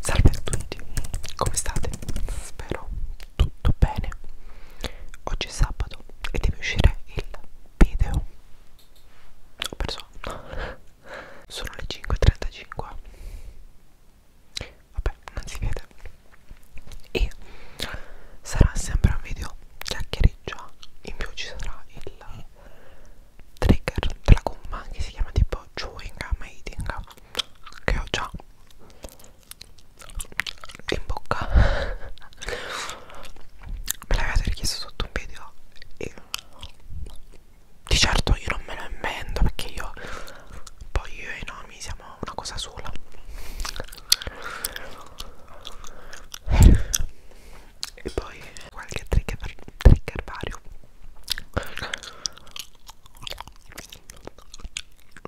Salve a tutti, come state? Spero tutto bene. Oggi è sabato e deve uscire il video. Ho perso. Sono le 5.35. Vabbè, non si vede. E sarà sempre un video chiacchiereggia. In più ci sarà il trigger della gomma che si chiama tipo chewing gum eating che ho già in bocca me l'avete richiesto sotto un video e di certo io non me lo invento perché io poi io e i nomi siamo una cosa sola e poi qualche trigger, trigger vario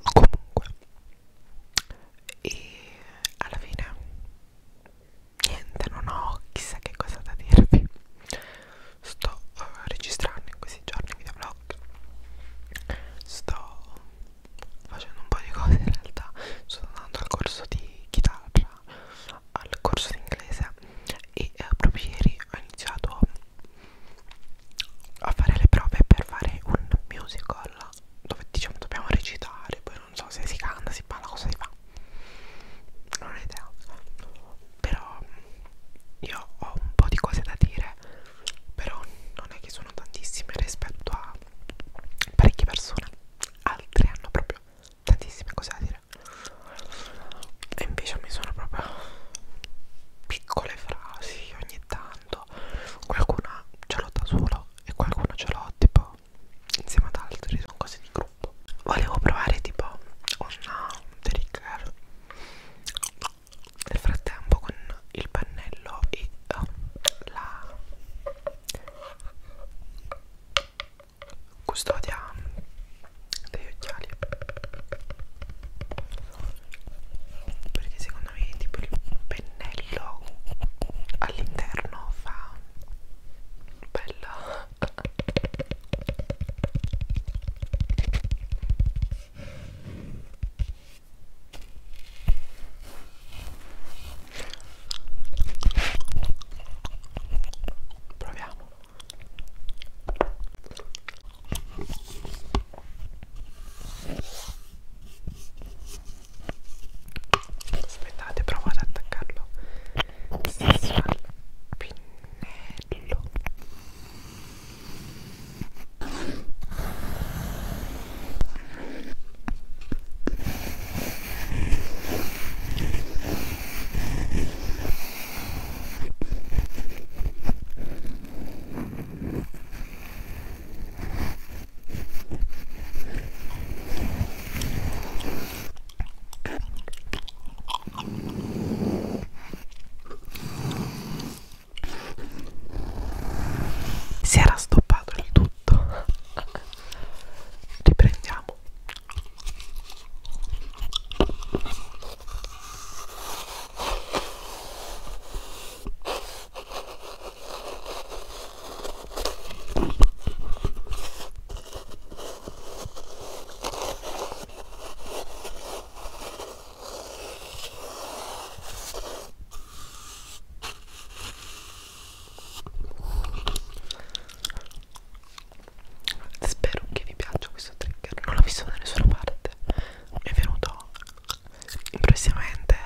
comunque e alla fine niente non ho chissà che cosa da dirvi sto uh, registrando in questi giorni videoblog sto facendo un po' di cose in realtà sto andando al corso di chitarra al corso di inglese e eh, proprio ieri ho iniziato a fare le prove per fare un musical dove diciamo dobbiamo recitare poi non so se si canta si parla cosa si fa non ho idea però io ho un po' di cose da dire però non è che sono tantissime rispetto a parecchie persone altre hanno proprio tantissime cose da dire e invece mi sono proprio piccole frasi ogni tanto qualcuna ce l'ho da solo e qualcuna ce l'ho tipo insieme ad altri sono cose di gruppo volevo provare tipo una trigger nel frattempo con il pennello e oh, la custodia degli occhiali perché secondo me tipo il pennello all'interno fa bella proviamo aspettate provo ad attaccarlo stesso al pinnello si era stoppato il tutto riprendiamo Spero che vi piaccia questo trigger. Non l'ho visto da nessuna parte. Mi è venuto impressionante.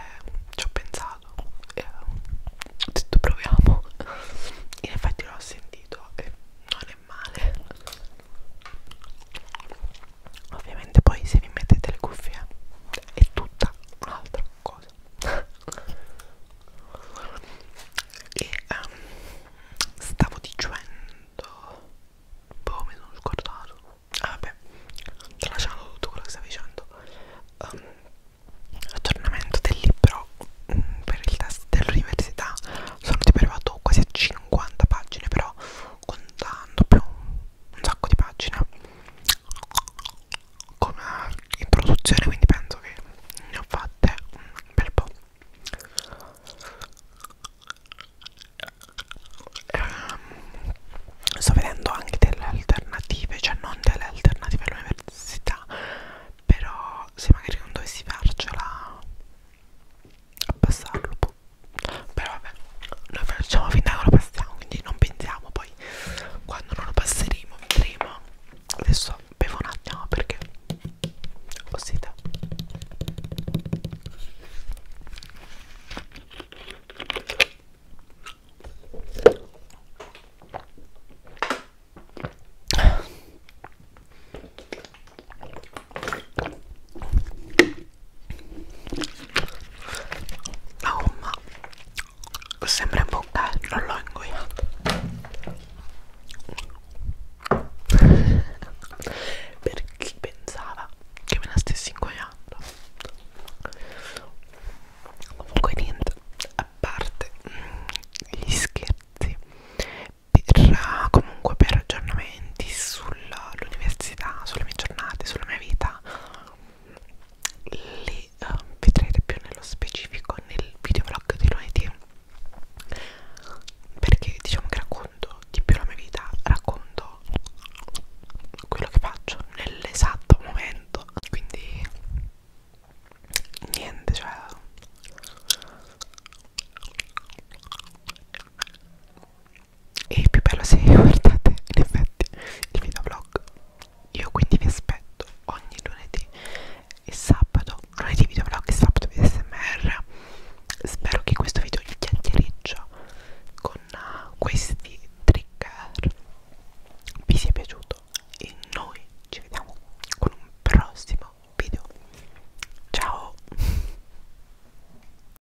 Ci ho pensato. E ho detto proviamo. In effetti l'ho sentito e non è male. Ovviamente poi se vi mettete le cuffie è tutta un'altra cosa e um, stavo dicendo boh mi sono scordato ah vabbè tralasciando tutto quello che stavo dicendo um, aggiornamento del libro um, per il test dell'università sono tipo arrivato quasi a 50 pagine però contando più un sacco di pagine come in produzione quindi penso che ne ho fatte un bel po' ehm, sto vedendo anche delle alternative cioè non delle alternative all'università però se magari non dovessi farcela abbassarlo però vabbè noi facciamo finta che lo passiamo quindi non pensiamo poi mai quando non lo passeremo vedremo adesso bevo un attimo perché ho sete la oh, gomma sembra un po' eh, non l'ho ingoiata perché pensava che me la stessi ingoiando comunque niente a parte mm, gli scherzi per, comunque per aggiornamenti sull'università sulle mie giornate sulla mia vita li uh, vedrete più nello specifico nel videoblog di lunedì perché diciamo che racconto di più la mia vita racconto quello che faccio nell'esatto momento quindi niente cioè e più bello se guardate in effetti il videoblog io quindi vi aspetto ogni lunedì e sabato lunedì videoblog e sabato smr spero che questo video vi chiacchiereggio con eh, questi trigger vi sia piaciuto e noi ci vediamo con un prossimo video ciao